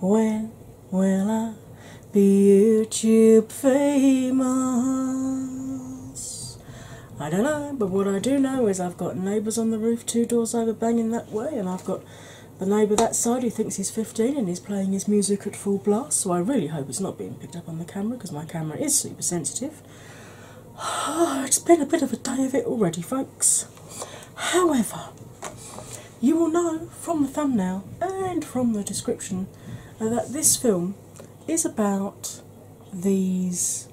When will I be YouTube famous? I don't know, but what I do know is I've got neighbours on the roof two doors over banging that way, and I've got the neighbour that side who thinks he's 15 and he's playing his music at full blast, so I really hope it's not being picked up on the camera because my camera is super sensitive. it's been a bit of a day of it already, folks. However, you will know from the thumbnail and from the description uh, that this film is about these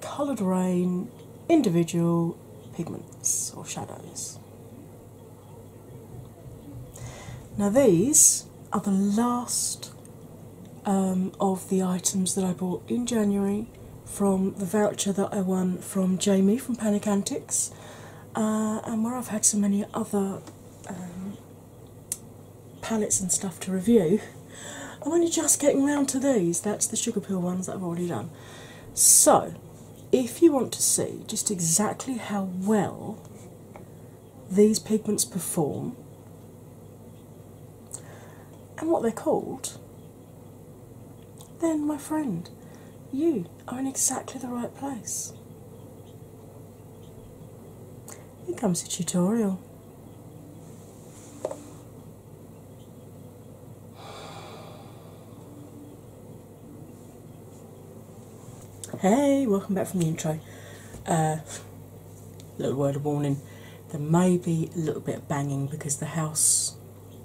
coloured rain individual pigments or shadows. Now, these are the last um, of the items that I bought in January from the voucher that I won from Jamie from Panic Antics. Uh, and where I've had so many other um, palettes and stuff to review, I'm only just getting round to these. That's the sugar pill ones that I've already done. So, if you want to see just exactly how well these pigments perform and what they're called, then my friend, you are in exactly the right place. Here comes the tutorial. Hey, welcome back from the intro. A uh, little word of warning there may be a little bit of banging because the house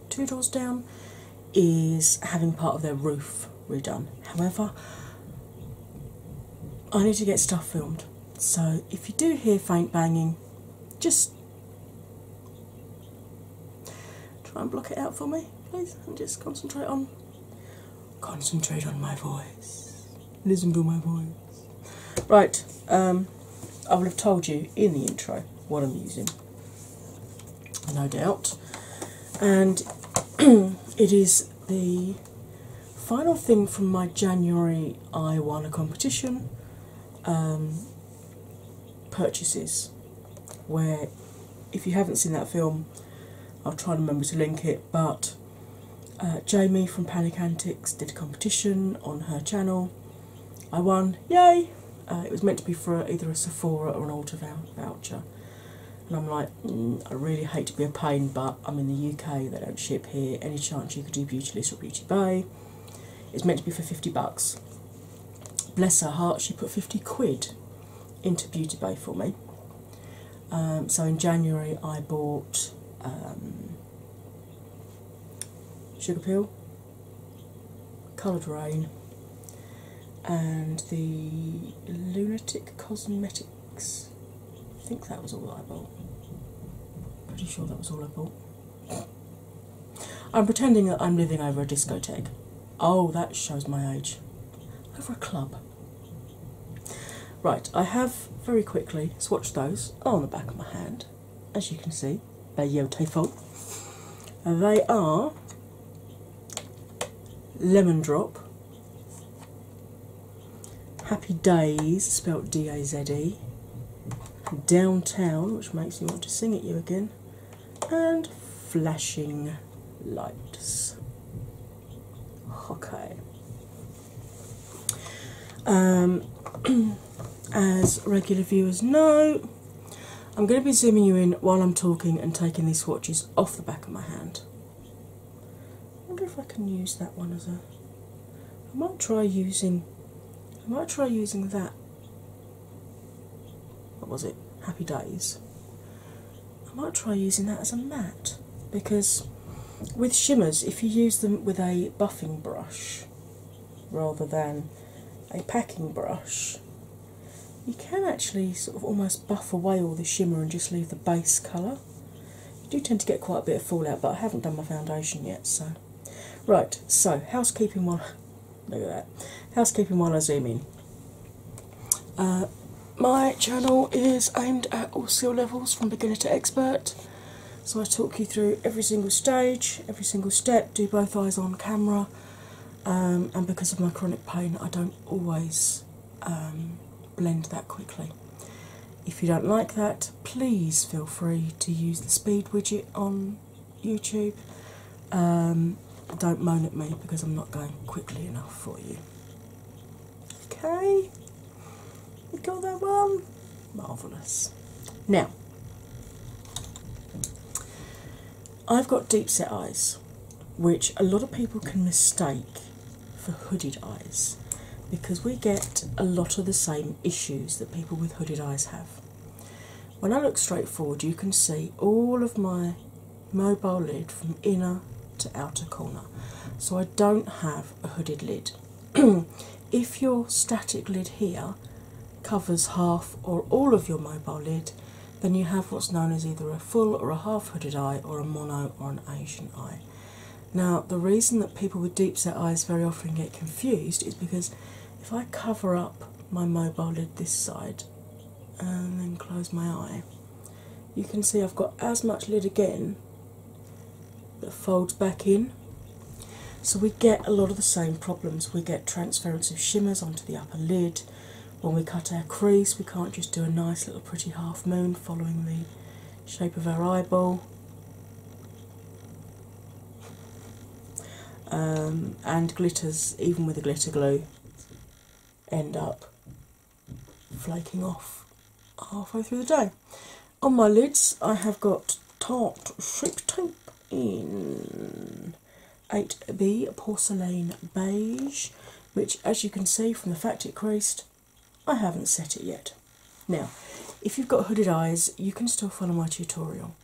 two doors down is having part of their roof redone. However, I need to get stuff filmed, so if you do hear faint banging, just try and block it out for me, please, and just concentrate on concentrate on my voice. Listen to my voice. Right, um, I will have told you in the intro what I'm using no doubt. And it is the final thing from my January I won a competition um, purchases, where if you haven't seen that film, I'll try and remember to link it, but. Uh, Jamie from Panic Antics did a competition on her channel. I won, yay! Uh, it was meant to be for either a Sephora or an Ulta voucher. And I'm like, mm, I really hate to be a pain, but I'm in the UK, they don't ship here. Any chance you could do Beautylist or Beauty Bay? It's meant to be for 50 bucks. Bless her heart, she put 50 quid into Beauty Bay for me. Um, so in January, I bought um, Sugar Peel, Coloured Rain and the Lunatic Cosmetics. I think that was all I bought. Pretty sure that was all I bought. I'm pretending that I'm living over a discotheque. Oh, that shows my age. Over a club. Right, I have very quickly swatched those on the back of my hand, as you can see. They're beautiful. They are Lemon Drop, Happy Days, spelled D A Z E, Downtown, which makes me want to sing at you again, and Flashing Lights. Okay. Um, as regular viewers know, I'm going to be zooming you in while I'm talking and taking these swatches off the back of my hand. I wonder if I can use that one as a. I might try using. I might try using that. What was it? Happy Days. I might try using that as a matte because with shimmers, if you use them with a buffing brush rather than a packing brush, you can actually sort of almost buff away all the shimmer and just leave the base colour. You do tend to get quite a bit of fallout, but I haven't done my foundation yet, so right. So housekeeping while look at that housekeeping while I zoom in. Uh, my channel is aimed at all skill levels from beginner to expert. So I talk you through every single stage, every single step, do both eyes on camera, um, and because of my chronic pain, I don't always um, blend that quickly. If you don't like that, please feel free to use the speed widget on YouTube. Um, don't moan at me because I'm not going quickly enough for you. Okay, you got that one? Marvellous. Now, I've got deep set eyes, which a lot of people can mistake for hooded eyes because we get a lot of the same issues that people with hooded eyes have. When I look straight forward, you can see all of my mobile lid from inner to outer corner, so I don't have a hooded lid. if your static lid here covers half or all of your mobile lid, then you have what's known as either a full or a half hooded eye or a mono or an Asian eye. Now, the reason that people with deep set eyes very often get confused is because if I cover up my mobile lid this side and then close my eye, you can see I've got as much lid again that folds back in. So we get a lot of the same problems. We get transference of shimmers onto the upper lid, when we cut our crease, we can't just do a nice little pretty half moon following the shape of our eyeball. Um, and glitters, even with a glitter glue, end up flaking off halfway through the day. On my lids, I have got tart Shape Tape in 8B Porcelain Beige, which, as you can see from the fact it creased, I haven't set it yet. Now, if you've got hooded eyes, you can still follow my tutorial.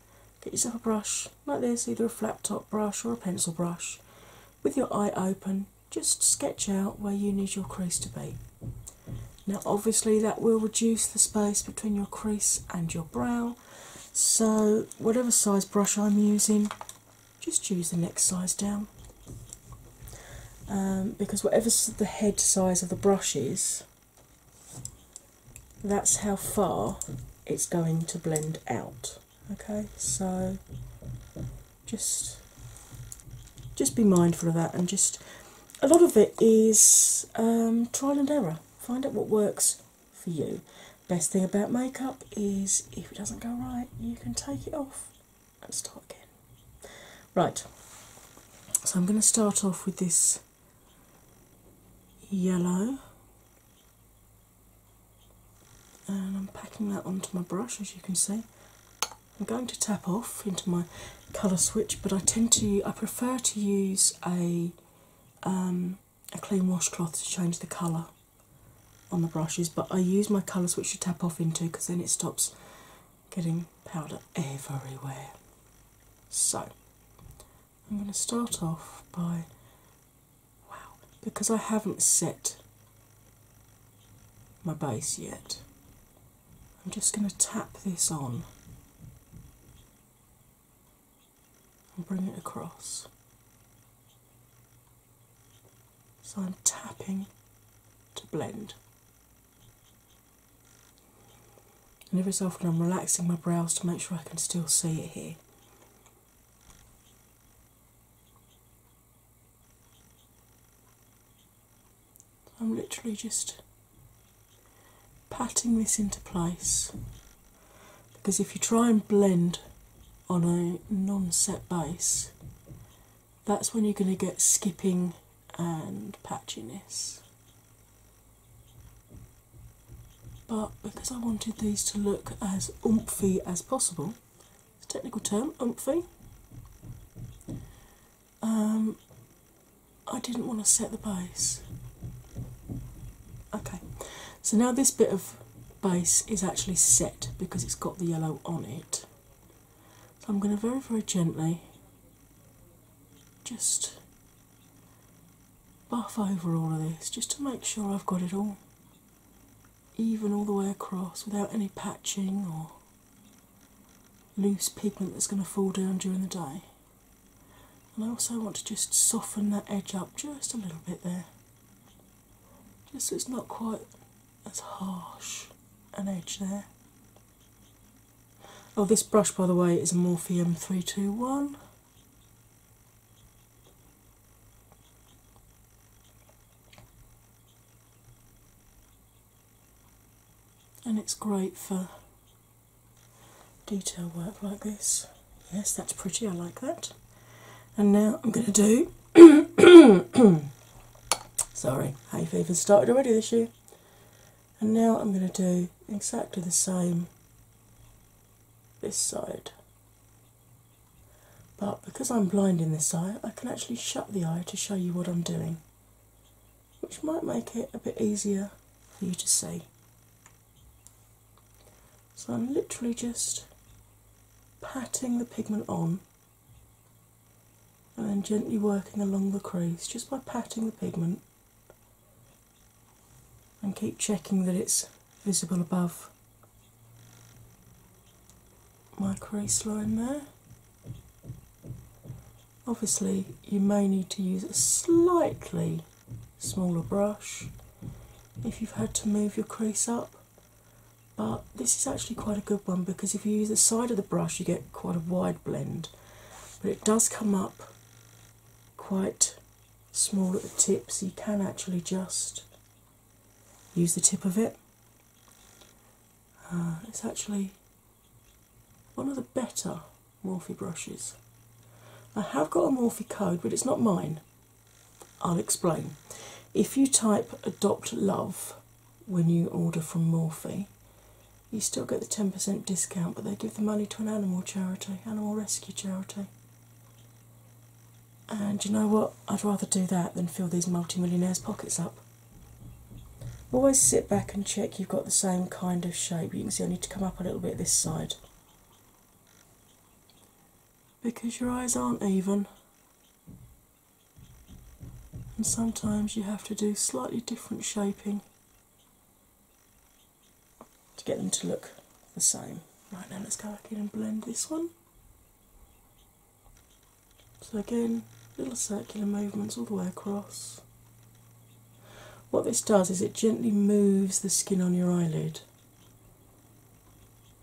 Get yourself a brush like this, either a flat top brush or a pencil brush. With your eye open, just sketch out where you need your crease to be. Now, obviously, that will reduce the space between your crease and your brow, so, whatever size brush I'm using, just choose the next size down. Um, because whatever the head size of the brush is, that's how far it's going to blend out. Okay, so just just be mindful of that and just a lot of it is um, trial and error. Find out what works for you. Best thing about makeup is if it doesn't go right, you can take it off and start again. Right, so I'm going to start off with this yellow and I'm packing that onto my brush as you can see. I'm going to tap off into my colour switch, but I tend to, I prefer to use a um, a clean washcloth to change the colour on the brushes, but I use my colour switch to tap off into because then it stops getting powder everywhere. So I'm going to start off by wow, because I haven't set my base yet. I'm just going to tap this on and bring it across. So I'm tapping to blend. And every so often I'm relaxing my brows to make sure I can still see it here. I'm literally just patting this into place because if you try and blend on a non set base, that's when you're going to get skipping and patchiness. But because I wanted these to look as oomphy as possible, it's a technical term, oomphy, um, I didn't want to set the base. Okay, so now this bit of base is actually set because it's got the yellow on it. So I'm going to very, very gently just buff over all of this just to make sure I've got it all even all the way across without any patching or loose pigment that's going to fall down during the day. And I also want to just soften that edge up just a little bit there, just so it's not quite as harsh an edge there. Oh, this brush, by the way, is a Morpheum 321. And it's great for detail work like this. Yes, that's pretty, I like that. And now I'm going to do. Sorry, hay fever started already this year. And now I'm going to do exactly the same this side. But because I'm blind in this eye, I can actually shut the eye to show you what I'm doing, which might make it a bit easier for you to see. So I'm literally just patting the pigment on and then gently working along the crease just by patting the pigment and keep checking that it's visible above my crease line there. Obviously, you may need to use a slightly smaller brush if you've had to move your crease up. But this is actually quite a good one because if you use the side of the brush, you get quite a wide blend, but it does come up quite small at the tip, so you can actually just use the tip of it. Uh, it's actually one of the better Morphe brushes. I have got a Morphe code, but it's not mine. I'll explain. If you type adopt love when you order from Morphe, you still get the 10% discount, but they give the money to an animal charity, animal rescue charity. And you know what? I'd rather do that than fill these multimillionaires' pockets up. Always sit back and check you've got the same kind of shape. You can see I need to come up a little bit this side because your eyes aren't even, and sometimes you have to do slightly different shaping to get them to look the same. Right now, let's go back in and blend this one. So, again, little circular movements all the way across. What this does is it gently moves the skin on your eyelid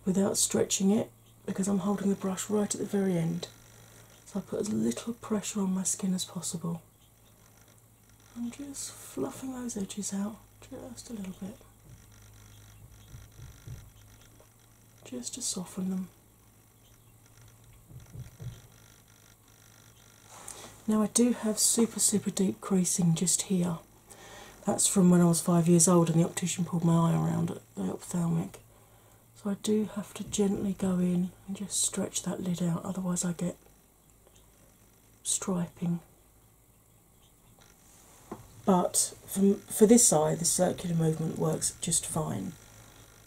without stretching it because I'm holding the brush right at the very end. So I put as little pressure on my skin as possible. I'm just fluffing those edges out just a little bit, just to soften them. Now, I do have super, super deep creasing just here. That's from when I was five years old and the optician pulled my eye around the ophthalmic. So, I do have to gently go in and just stretch that lid out, otherwise, I get striping. But for, for this eye, the circular movement works just fine.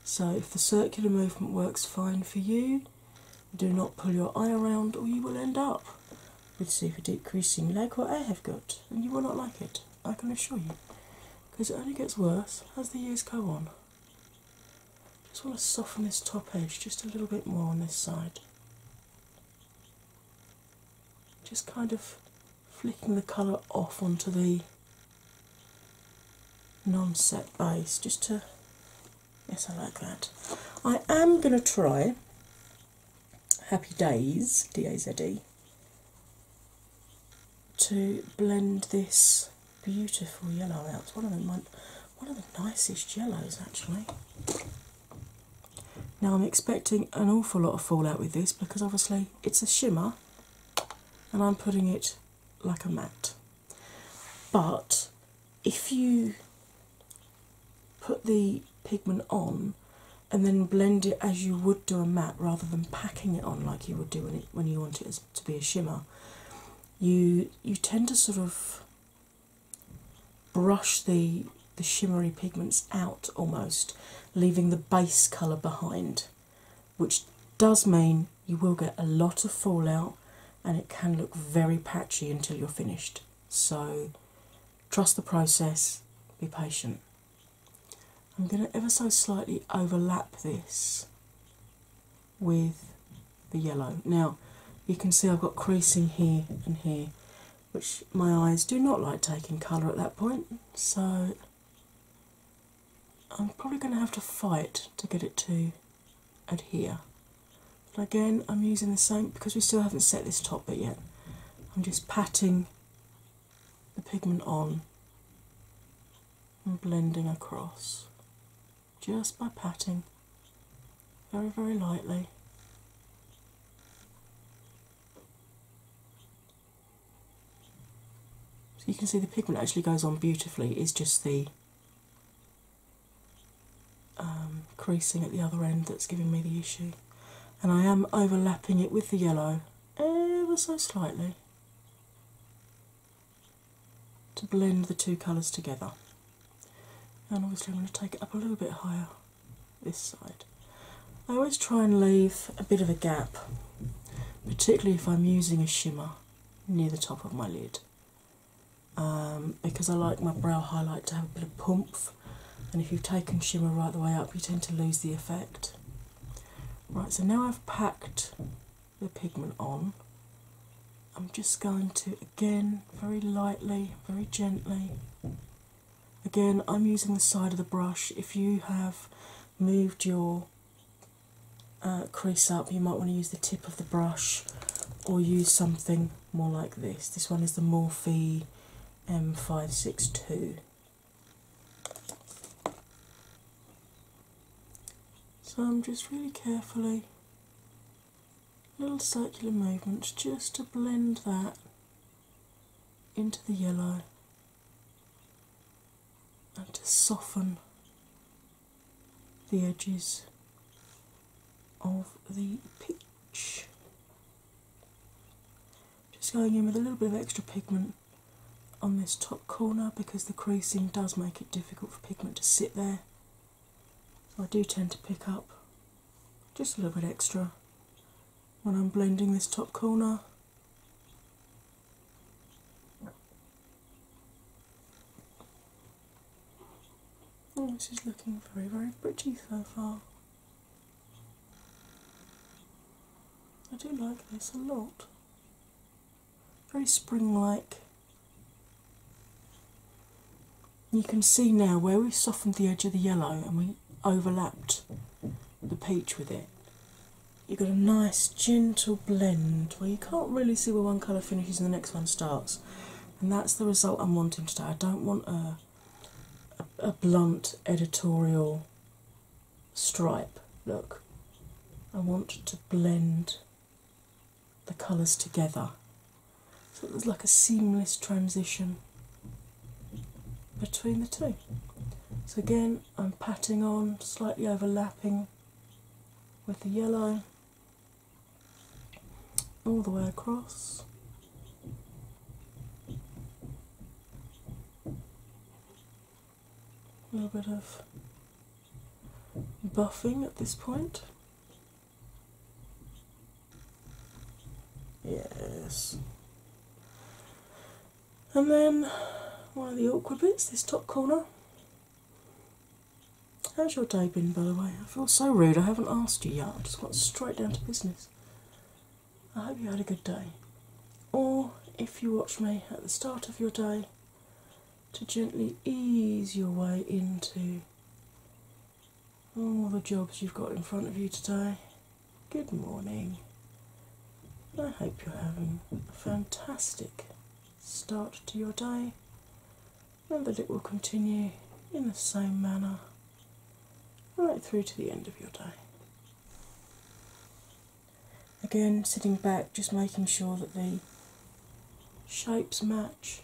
So, if the circular movement works fine for you, do not pull your eye around, or you will end up with super decreasing creasing What I have got, and you will not like it, I can assure you, because it only gets worse as the years go on. Just want to soften this top edge just a little bit more on this side. Just kind of flicking the colour off onto the non set eyes, just to Yes, I like that. I am going to try Happy Days, D A Z D, to blend this beautiful yellow out. It's one of the, one of the nicest yellows, actually. Now, I'm expecting an awful lot of fallout with this because obviously it's a shimmer and I'm putting it like a mat. But if you put the pigment on and then blend it as you would do a matte rather than packing it on like you would do when, you want it to be a shimmer. You you tend to sort of brush the the shimmery pigments out almost, leaving the base colour behind, which does mean you will get a lot of fallout and it can look very patchy until you're finished. So trust the process, be patient. I'm going to ever so slightly overlap this with the yellow. Now you can see I've got creasing here and here, which my eyes do not like taking colour at that point, so I'm probably going to have to fight to get it to adhere. But again, I'm using the same because we still haven't set this top bit yet. I'm just patting the pigment on and blending across just by patting very, very lightly. So you can see the pigment actually goes on beautifully, it's just the um, creasing at the other end that's giving me the issue, and I am overlapping it with the yellow ever so slightly to blend the two colours together. And obviously, I'm going to take it up a little bit higher this side. I always try and leave a bit of a gap, particularly if I'm using a shimmer near the top of my lid. Um, because I like my brow highlight to have a bit of poomph. And if you've taken shimmer right the way up, you tend to lose the effect. Right, so now I've packed the pigment on. I'm just going to again very lightly, very gently. Again, I'm using the side of the brush. If you have moved your uh, crease up, you might want to use the tip of the brush or use something more like this. This one is the Morphe M562. Um, so I'm just really carefully, little circular movements just to blend that into the yellow and to soften the edges of the pitch. Just going in with a little bit of extra pigment on this top corner because the creasing does make it difficult for pigment to sit there. So I do tend to pick up just a little bit extra when I'm blending this top corner. Oh, this is looking very, very pretty so far. I do like this a lot. Very spring like. You can see now where we softened the edge of the yellow and we overlapped the peach with it. You've got a nice gentle blend where you can't really see where one colour finishes and the next one starts and that's the result I'm wanting today. I don't want a, a, blunt editorial stripe look. I want to blend the colours together. So it's like a seamless transition between the two. So again, I'm patting on, slightly overlapping with the yellow, all the way across. A little bit of buffing at this point. Yes. And then one of the awkward bits, this top corner. How's your day been, by the way? I feel so rude, I haven't asked you yet. I just got straight down to business. I hope you had a good day. Or if you watch me at the start of your day, to gently ease your way into all the jobs you've got in front of you today. Good morning. I hope you're having a fantastic start to your day and that it will continue in the same manner right through to the end of your day. Again, sitting back, just making sure that the shapes match.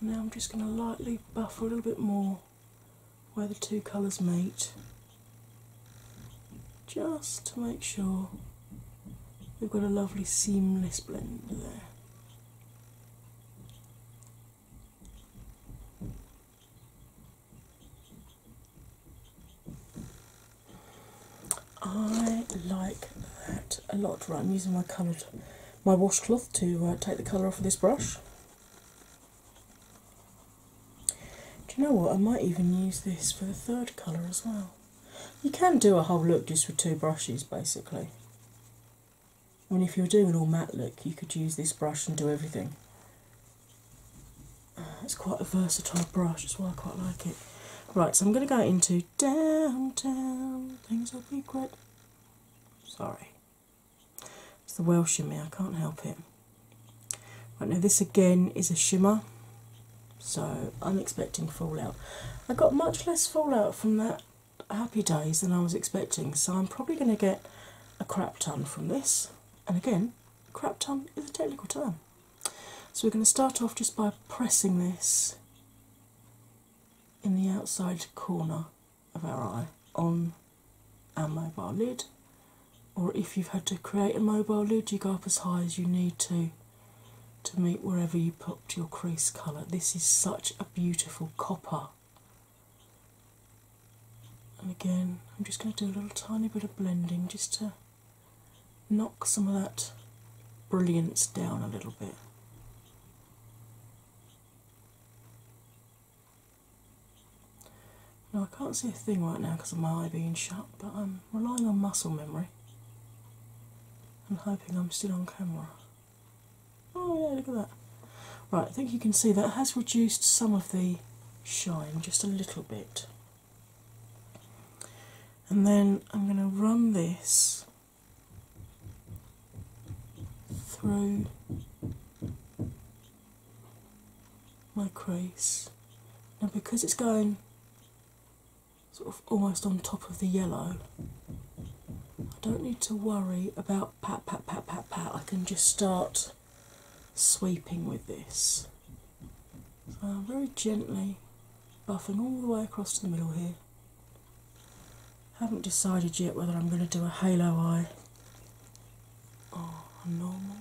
And now I'm just going to lightly buff a little bit more where the two colours meet, just to make sure we've got a lovely seamless blend there. I like that a lot. Right, I'm using my coloured, my washcloth to uh, take the colour off of this brush. Do you know what? I might even use this for the third colour as well. You can do a whole look just with two brushes, basically. I mean, if you were doing an all matte look, you could use this brush and do everything. it's quite a versatile brush, that's why I quite like it. Right, so I'm going to go into downtown. Things will be great. Sorry, it's the Welsh in me. I can't help it. Right now, this again is a shimmer, so I'm expecting fallout. I got much less fallout from that happy days than I was expecting, so I'm probably going to get a crap ton from this. And again, crap ton is a technical term. So we're going to start off just by pressing this in the outside corner of our eye on our mobile lid. Or if you've had to create a mobile lid, you go up as high as you need to to meet wherever you popped your crease colour. This is such a beautiful copper. And again, I'm just going to do a little tiny bit of blending just to knock some of that brilliance down a little bit. Now I can't see a thing right now because of my eye being shut, but I'm relying on muscle memory and hoping I'm still on camera. Oh yeah, look at that. Right, I think you can see that has reduced some of the shine just a little bit. And then I'm going to run this through my crease. Now, because it's going sort of almost on top of the yellow. I don't need to worry about pat, pat, pat, pat, pat. I can just start sweeping with this. So I'm very gently buffing all the way across to the middle here. Haven't decided yet whether I'm going to do a halo eye or a normal.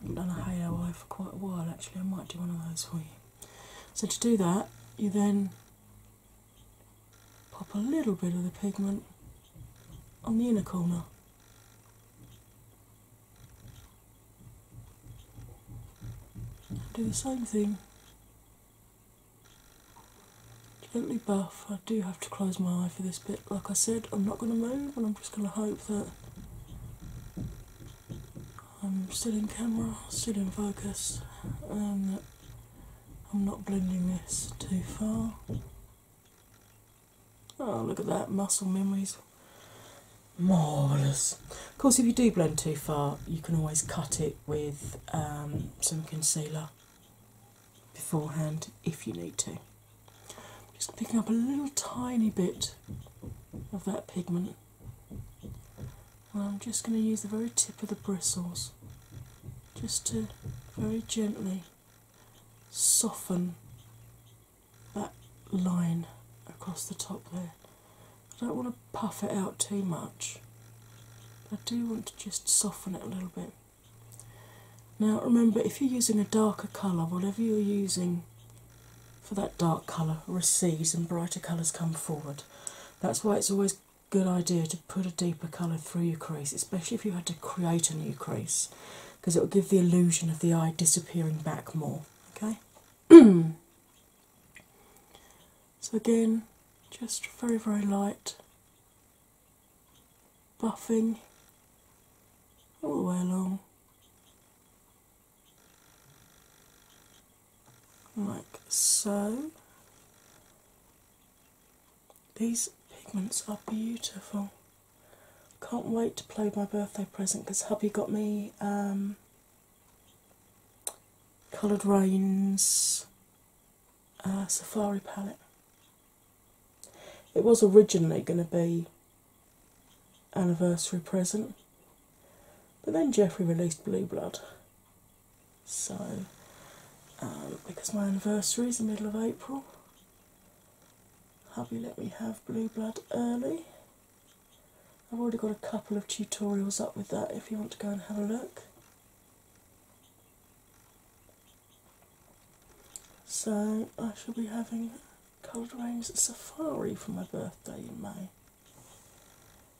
Haven't done a halo eye for quite a while actually. I might do one of those for you. So to do that, you then pop a little bit of the pigment on the inner corner. Do the same thing. Gently buff. I do have to close my eye for this bit. Like I said, I'm not going to move and I'm just going to hope that I'm still in camera, still in focus, and um, I'm not blending this too far. Oh, look at that, muscle memories. Marvellous. Of course, if you do blend too far, you can always cut it with um, some concealer beforehand if you need to. Just picking up a little tiny bit of that pigment I'm just going to use the very tip of the bristles just to very gently soften that line across the top there. I don't want to puff it out too much, I do want to just soften it a little bit. Now, remember, if you're using a darker colour, whatever you're using for that dark colour recedes and brighter colours come forward. That's why it's always a good idea to put a deeper colour through your crease, especially if you had to create a new crease, because it will give the illusion of the eye disappearing back more. Okay? so again, just very, very light buffing all the way along like so. These pigments are beautiful. Can't wait to play my birthday present because hubby got me um, Coloured Rain's uh, Safari palette. It was originally going to be anniversary present but then Jeffrey released Blue Blood. So, um, because my anniversary is the middle of April, hubby let me have Blue Blood early. I've already got a couple of tutorials up with that if you want to go and have a look. So, I shall be having Cold rains Safari for my birthday in May.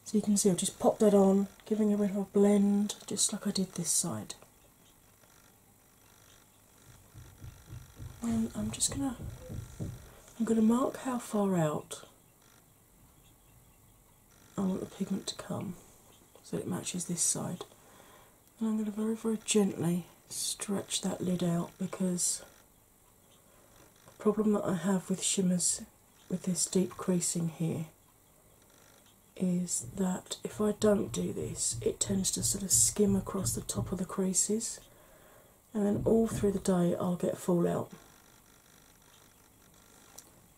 So you can see I've just popped that on, giving a bit of a blend, just like I did this side. And I'm just gonna I'm gonna mark how far out I want the pigment to come so it matches this side. And I'm going to very, very gently stretch that lid out because problem that I have with shimmers with this deep creasing here is that if I don't do this, it tends to sort of skim across the top of the creases, and then all through the day I'll get fallout.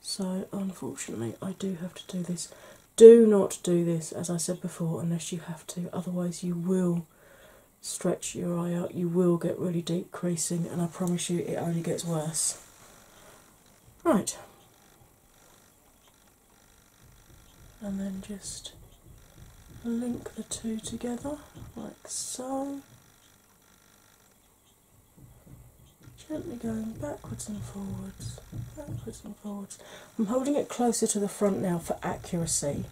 So, unfortunately, I do have to do this. Do not do this, as I said before, unless you have to, otherwise, you will stretch your eye out, you will get really deep creasing, and I promise you it only gets worse. Right. And then just link the two together like so. Gently going backwards and forwards, backwards and forwards. I'm holding it closer to the front now for accuracy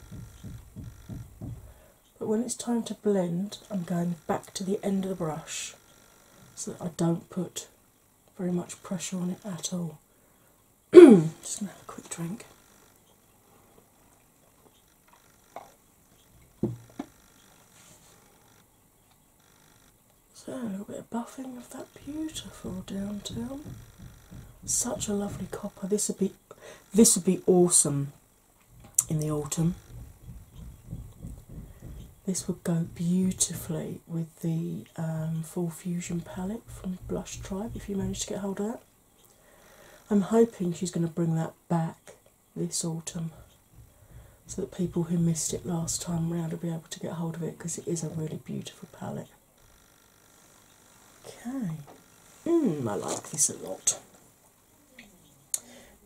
but when it's time to blend, I'm going back to the end of the brush so that I don't put very much pressure on it at all. Just gonna have a quick drink. So a little bit of buffing of that beautiful downtown. Such a lovely copper. This would be this would be awesome in the autumn. This would go beautifully with the um, Full Fusion palette from Blush Tribe if you manage to get hold of that. I'm hoping she's going to bring that back this autumn so that people who missed it last time round will be able to get hold of it because it is a really beautiful palette. Okay, mm, I like this a lot.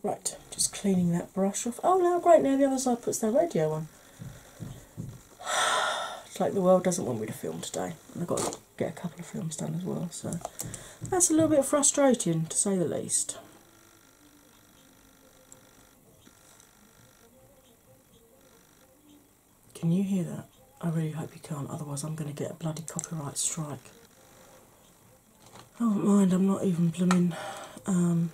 Right, just cleaning that brush off. Oh, now great, now the other side puts their radio on. it's like the world doesn't want me to film today, I've got to get a couple of films done as well, so that's a little bit frustrating to say the least. Can you hear that? I really hope you can't, otherwise, I'm going to get a bloody copyright strike. I don't mind, I'm not even blooming. Um,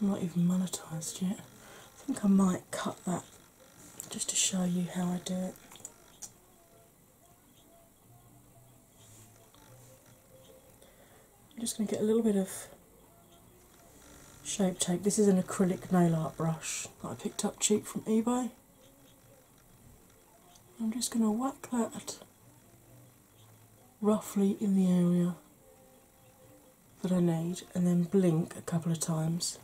I'm not even monetized yet. I think I might cut that just to show you how I do it. I'm just going to get a little bit of shape tape. This is an acrylic nail art brush that I picked up cheap from eBay. I'm just going to whack that roughly in the area that I need and then blink a couple of times.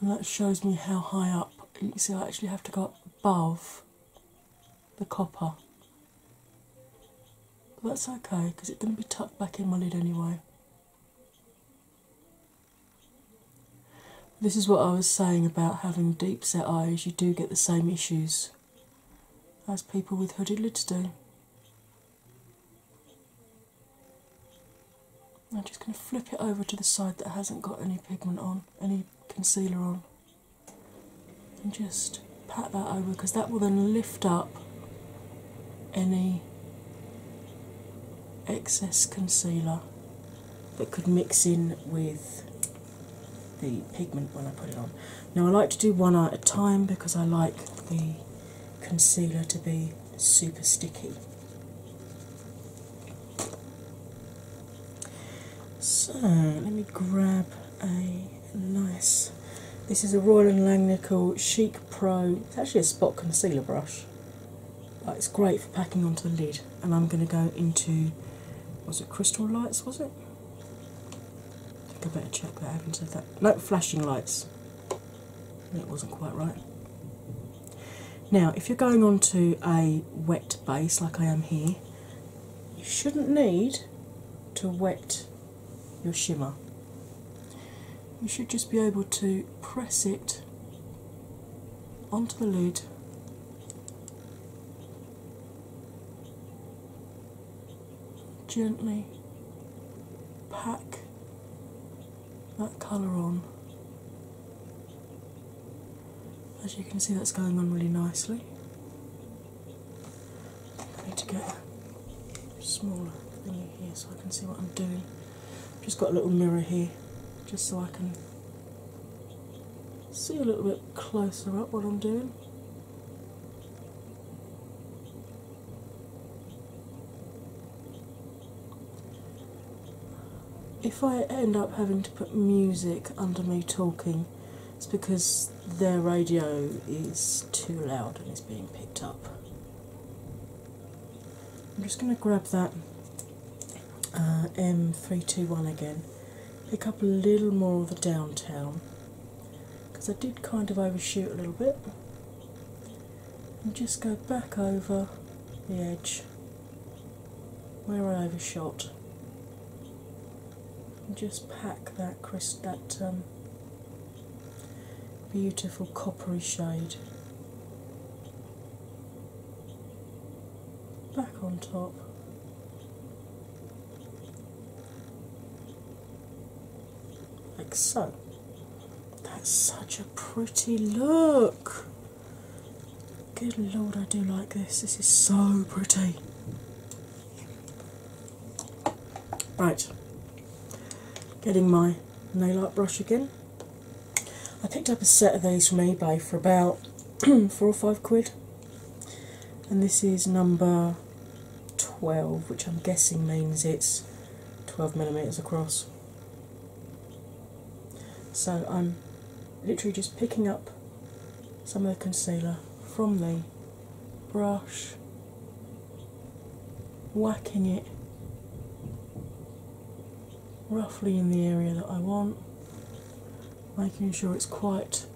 And that shows me how high up. you see, I actually have to go up above the copper. But that's okay because it's going to be tucked back in my lid anyway. This is what I was saying about having deep set eyes, you do get the same issues as people with hooded lids do. I'm just going to flip it over to the side that hasn't got any pigment on, any concealer on, and just pat that over because that will then lift up any excess concealer that could mix in with the pigment when I put it on. Now, I like to do one eye at a time because I like the concealer to be super sticky. So, let me grab a nice. This is a Royal and Langnickel Chic Pro. It's actually a spot concealer brush it's great for packing onto the lid, and I'm going to go into was it crystal lights? Was it? I I better check that. I haven't said that. No, flashing lights. That wasn't quite right. Now, if you're going onto a wet base like I am here, you shouldn't need to wet your shimmer you should just be able to press it onto the lid gently pack that colour on. As you can see, that's going on really nicely. I need to get a smaller thingy here so I can see what I'm doing. Just got a little mirror here just so I can see a little bit closer up what I'm doing. If I end up having to put music under me talking, it's because their radio is too loud and is being picked up. I'm just going to grab that uh, M321 again, pick up a little more of the downtown because I did kind of overshoot a little bit, and just go back over the edge where I overshot. And just pack that crisp, that um, beautiful coppery shade back on top. Like so. That's such a pretty look. Good lord, I do like this. This is so pretty. Right, getting my nail art brush again. I picked up a set of these from eBay for about four or five quid, and this is number 12, which I'm guessing means it's 12 millimeters across. So I'm literally just picking up some of the concealer from the brush whacking it roughly in the area that I want, making sure it's quite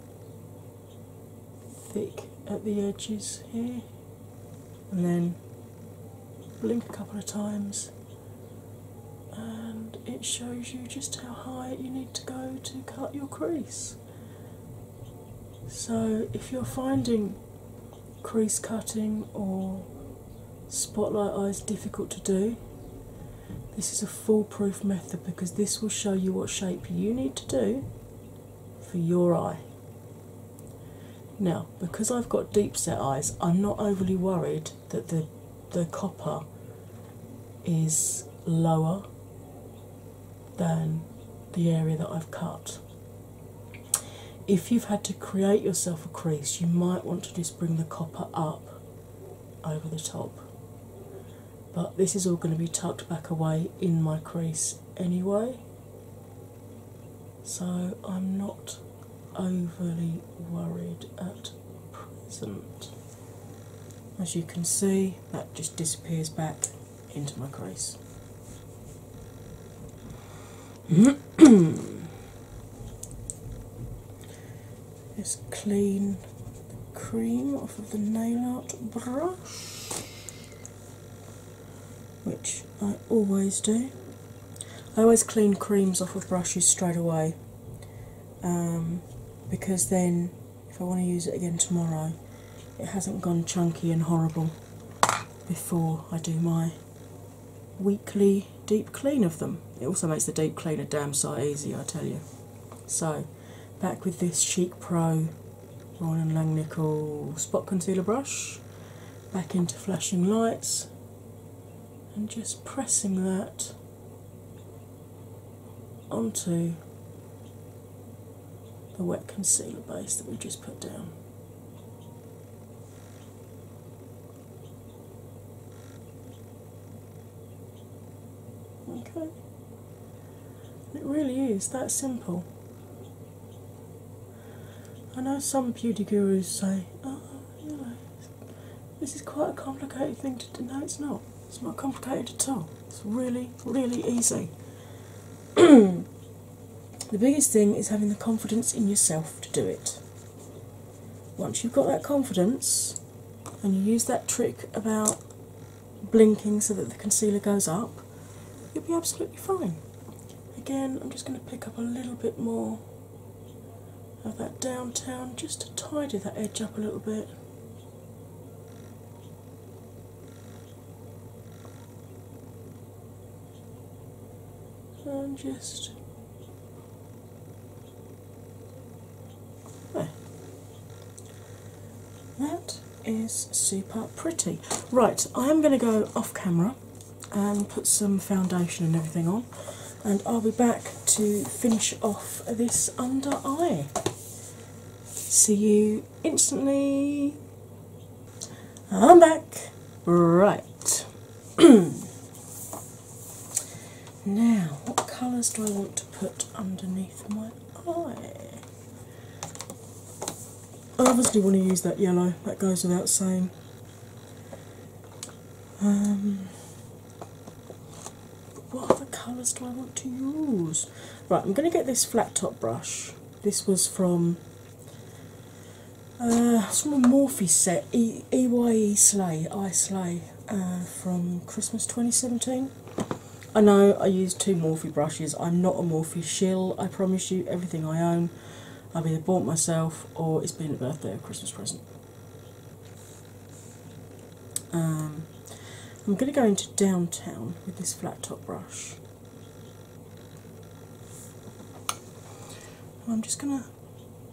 thick at the edges here, and then blink a couple of times. And it shows you just how high you need to go to cut your crease. So, if you're finding crease cutting or spotlight eyes difficult to do, this is a foolproof method because this will show you what shape you need to do for your eye. Now, because I've got deep set eyes, I'm not overly worried that the the copper is lower than the area that I've cut. If you've had to create yourself a crease, you might want to just bring the copper up over the top. But this is all going to be tucked back away in my crease anyway, so I'm not overly worried at present. As you can see, that just disappears back into my crease. Let's clean the cream off of the nail art brush, which I always do. I always clean creams off of brushes straight away um, because then, if I want to use it again tomorrow, it hasn't gone chunky and horrible before I do my weekly deep clean of them. It also makes the deep clean a damn sight easier, I tell you. So, back with this Chic Pro Royal and Langnickel Spot Concealer Brush, back into flashing lights, and just pressing that onto the wet concealer base that we just put down. Okay. It really is that simple. I know some beauty gurus say, oh, you know, this is quite a complicated thing to do. No, it's not. It's not complicated at all. It's really, really easy. The biggest thing is having the confidence in yourself to do it. Once you've got that confidence and you use that trick about blinking so that the concealer goes up, you'll be absolutely fine. Again, I'm just going to pick up a little bit more of that downtown just to tidy that edge up a little bit and just That is super pretty. Right, I am going to go off camera and put some foundation and everything on, and I'll be back to finish off this under eye. See you instantly. I'm back. Right now, what colours do I want to put underneath my eye? I obviously want to use that yellow, that goes without saying. Um, what other colours do I want to use? Right, I'm going to get this flat top brush. This was from uh, it's from a Morphe set, e EYE Slay, I Slay, uh, from Christmas 2017. I know I use two Morphe brushes, I'm not a Morphe shill, I promise you, everything I own I've either bought myself or it's been a birthday or Christmas present. Um, I'm going to go into downtown with this flat top brush. I'm just going to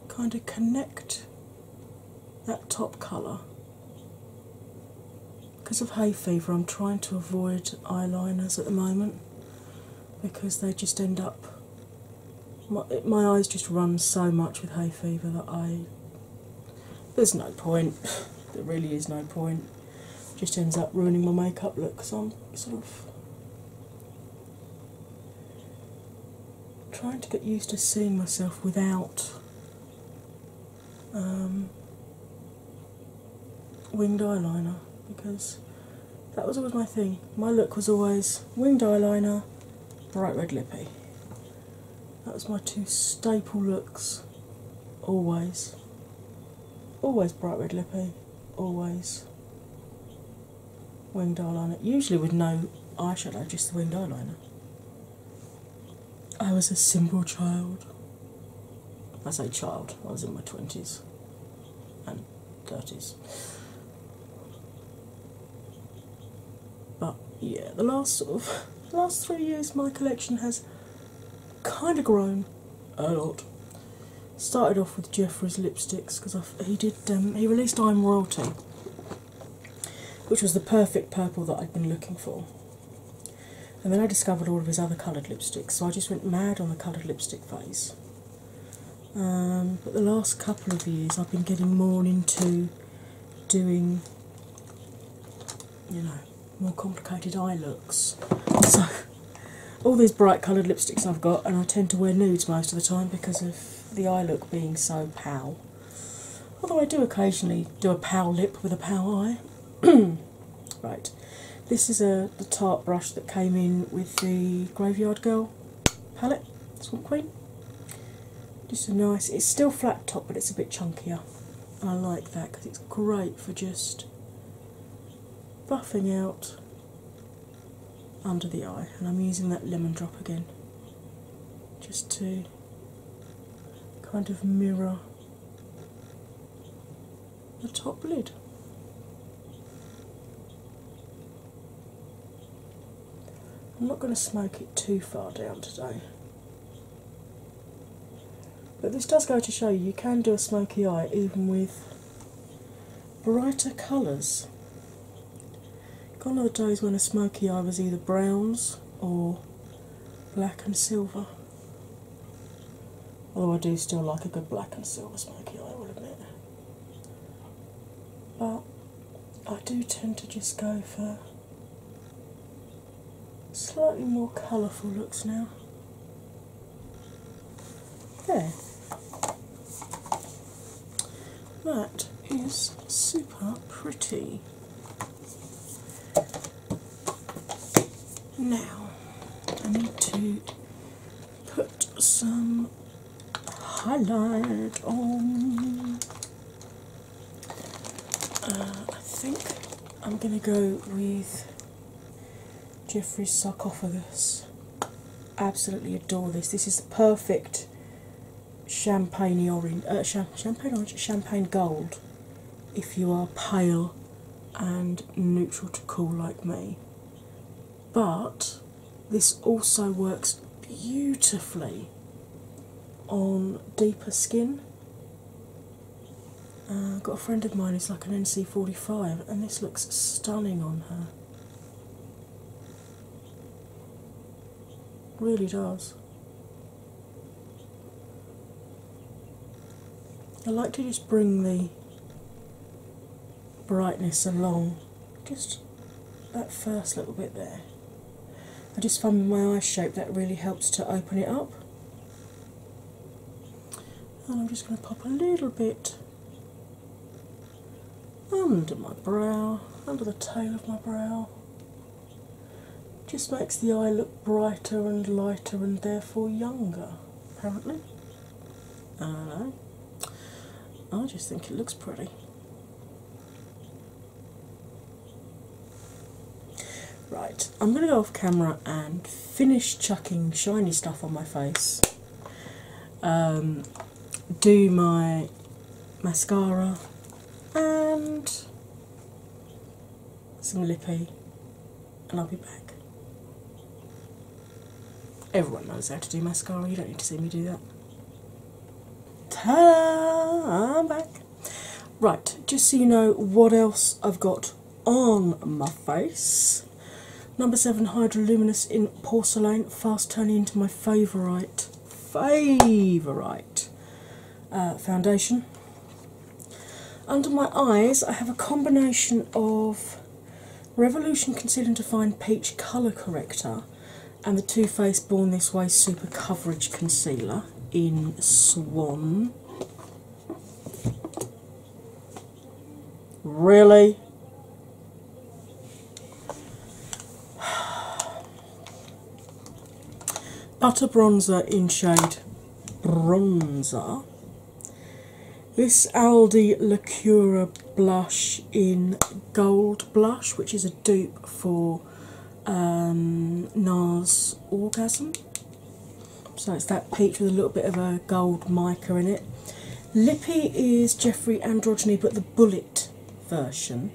kind of connect that top colour. Because of hay fever, I'm trying to avoid eyeliners at the moment because they just end up. My, eyes just run so much with hay fever that I. There's no point. there really is no point. Just ends up ruining my makeup look. So I'm sort of trying to get used to seeing myself without um, winged eyeliner because that was always my thing. My look was always winged eyeliner, bright red lippy. That was my two staple looks always. Always bright red lippy, always winged eyeliner. Usually with no eyeshadow, just the winged eyeliner. I was a simple child. I say child, I was in my 20s and 30s. But yeah, the last sort of last three years my collection has kind of grown a lot started off with Jeffree's lipsticks because he did um, he released I'm Royalty, which was the perfect purple that I'd been looking for. And then I discovered all of his other coloured lipsticks, so I just went mad on the coloured lipstick phase. Um, but the last couple of years, I've been getting more into doing, you know, more complicated eye looks all these bright coloured lipsticks I've got, and I tend to wear nudes most of the time because of the eye look being so pow. Although I do occasionally do a pow lip with a pow eye. right, this is a uh, the tart brush that came in with the Graveyard Girl palette, Swamp Queen. Just a nice, it's still flat top, but it's a bit chunkier. I like that because it's great for just buffing out under the eye, and I'm using that lemon drop again just to kind of mirror the top lid. I'm not going to smoke it too far down today. But this does go to show you, you can do a smoky eye even with brighter colours. Gone are the days when a smoky eye was either browns or black and silver. Although I do still like a good black and silver smoky eye, I will admit. But I do tend to just go for slightly more colourful looks now. There. That is super pretty. Now I need to put some highlight on. Uh, I think I'm going to go with Jeffrey's sarcophagus. Absolutely adore this. This is the perfect uh, champagne orange, champagne gold. If you are pale and neutral to cool like me, but this also works beautifully on deeper skin. Uh, I've got a friend of mine who's like an NC40 and this looks stunning on her. Really does. I like to just bring the brightness along, just that first little bit there. I just find my eye shape that really helps to open it up. And I'm just going to pop a little bit under my brow, under the tail of my brow. Just makes the eye look brighter and lighter and therefore younger, apparently. I don't know. I just think it looks pretty. Right, I'm going to go off camera and finish chucking shiny stuff on my face. Um, do my mascara and some lippy, and I'll be back. Everyone knows how to do mascara, you don't need to see me do that. Ta-da! I'm back. Right, just so you know what else I've got on my face. Number seven Hydraluminous in porcelain, fast turning into my favourite favourite uh, foundation. Under my eyes, I have a combination of Revolution Concealer and Define Peach Colour Corrector and the Too Faced Born This Way Super Coverage Concealer in Swan. Really? Butter Bronzer in shade Bronzer. This Aldi Lacura blush in Gold Blush, which is a dupe for um, NARS Orgasm. So it's that peach with a little bit of a gold mica in it. Lippy is Jeffrey Androgyny, but the bullet version.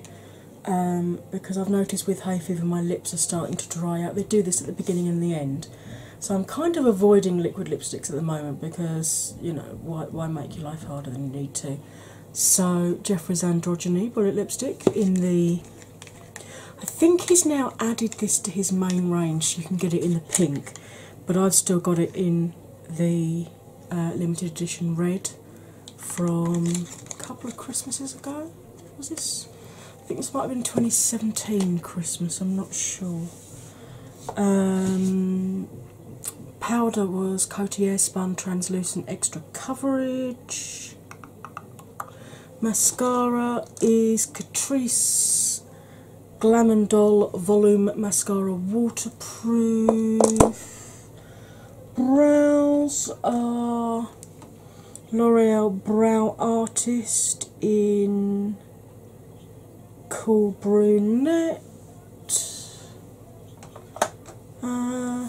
Um, because I've noticed with hay fever my lips are starting to dry out. They do this at the beginning and the end. So I'm kind of avoiding liquid lipsticks at the moment because, you know, why, why make your life harder than you need to? So Jeffrey's Androgyny Bullet Lipstick in the... I think he's now added this to his main range so you can get it in the pink but I've still got it in the uh, limited edition red from a couple of Christmases ago. Was this? I think this might have been 2017 Christmas, I'm not sure. Um, powder was Cotier Spun Translucent Extra Coverage. Mascara is Catrice Glam Volume Mascara Waterproof. Brows are L'Oreal Brow Artist in Cool Brunette. Uh, I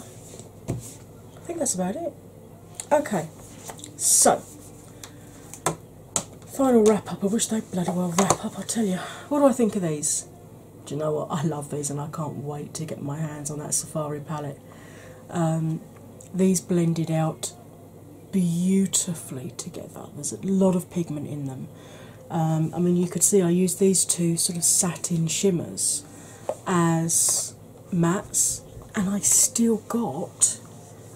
think that's about it. Okay, so Final wrap up. I wish they bloody well wrap up, I tell you. What do I think of these? Do you know what? I love these and I can't wait to get my hands on that Safari palette. Um, these blended out beautifully together. There's a lot of pigment in them. Um, I mean, you could see I used these two sort of satin shimmers as mattes, and I still got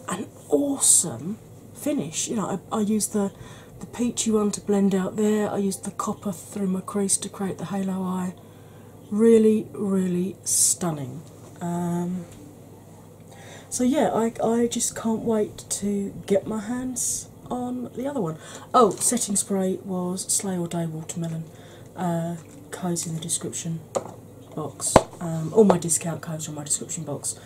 an awesome finish. You know, I, I used the the peachy one to blend out there. I use the copper through my crease to create the halo eye. Really, really stunning. Um, so yeah, I I just can't wait to get my hands on the other one. Oh, setting spray was Slay All Day Watermelon. Uh, codes in the description box. Um, all my discount codes are in my description box.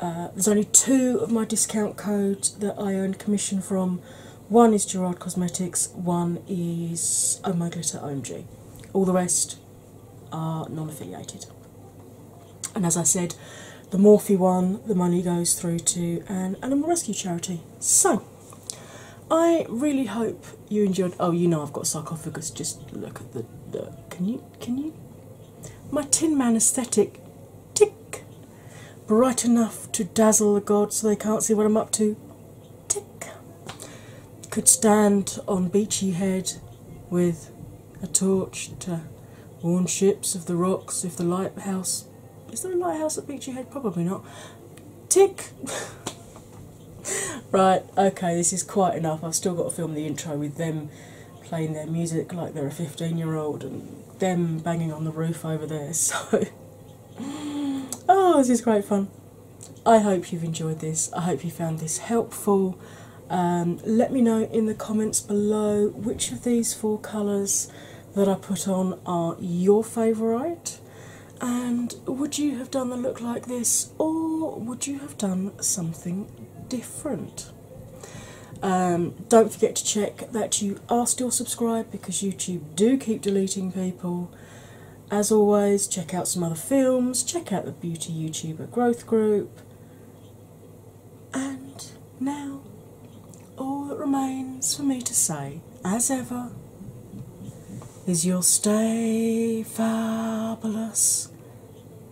Uh, there's only two of my discount codes that I earn commission from. One is Gerard Cosmetics, one is Oh My Glitter OMG. All the rest are non affiliated. And as I said, the Morphe one, the money goes through to an animal rescue charity. So, I really hope you enjoyed. Oh, you know I've got sarcophagus. Just look at the. the can you? Can you? my Tin Man aesthetic tick bright enough to dazzle the gods so they can't see what I'm up to tick could stand on Beachy Head with a torch to warn ships of the rocks if the lighthouse is there a lighthouse at Beachy Head? Probably not. Tick Right, okay, this is quite enough. I've still got to film the intro with them playing their music like they're a 15 year old and them banging on the roof over there. So, oh, this is great fun. I hope you've enjoyed this. I hope you found this helpful. Um, let me know in the comments below which of these four colours that I put on are your favourite. And would you have done the look like this, or would you have done something different? Um, don't forget to check that you are still subscribed because YouTube do keep deleting people. As always, check out some other films, check out the Beauty YouTuber Growth Group, and now all that remains for me to say, as ever, is you'll stay fabulous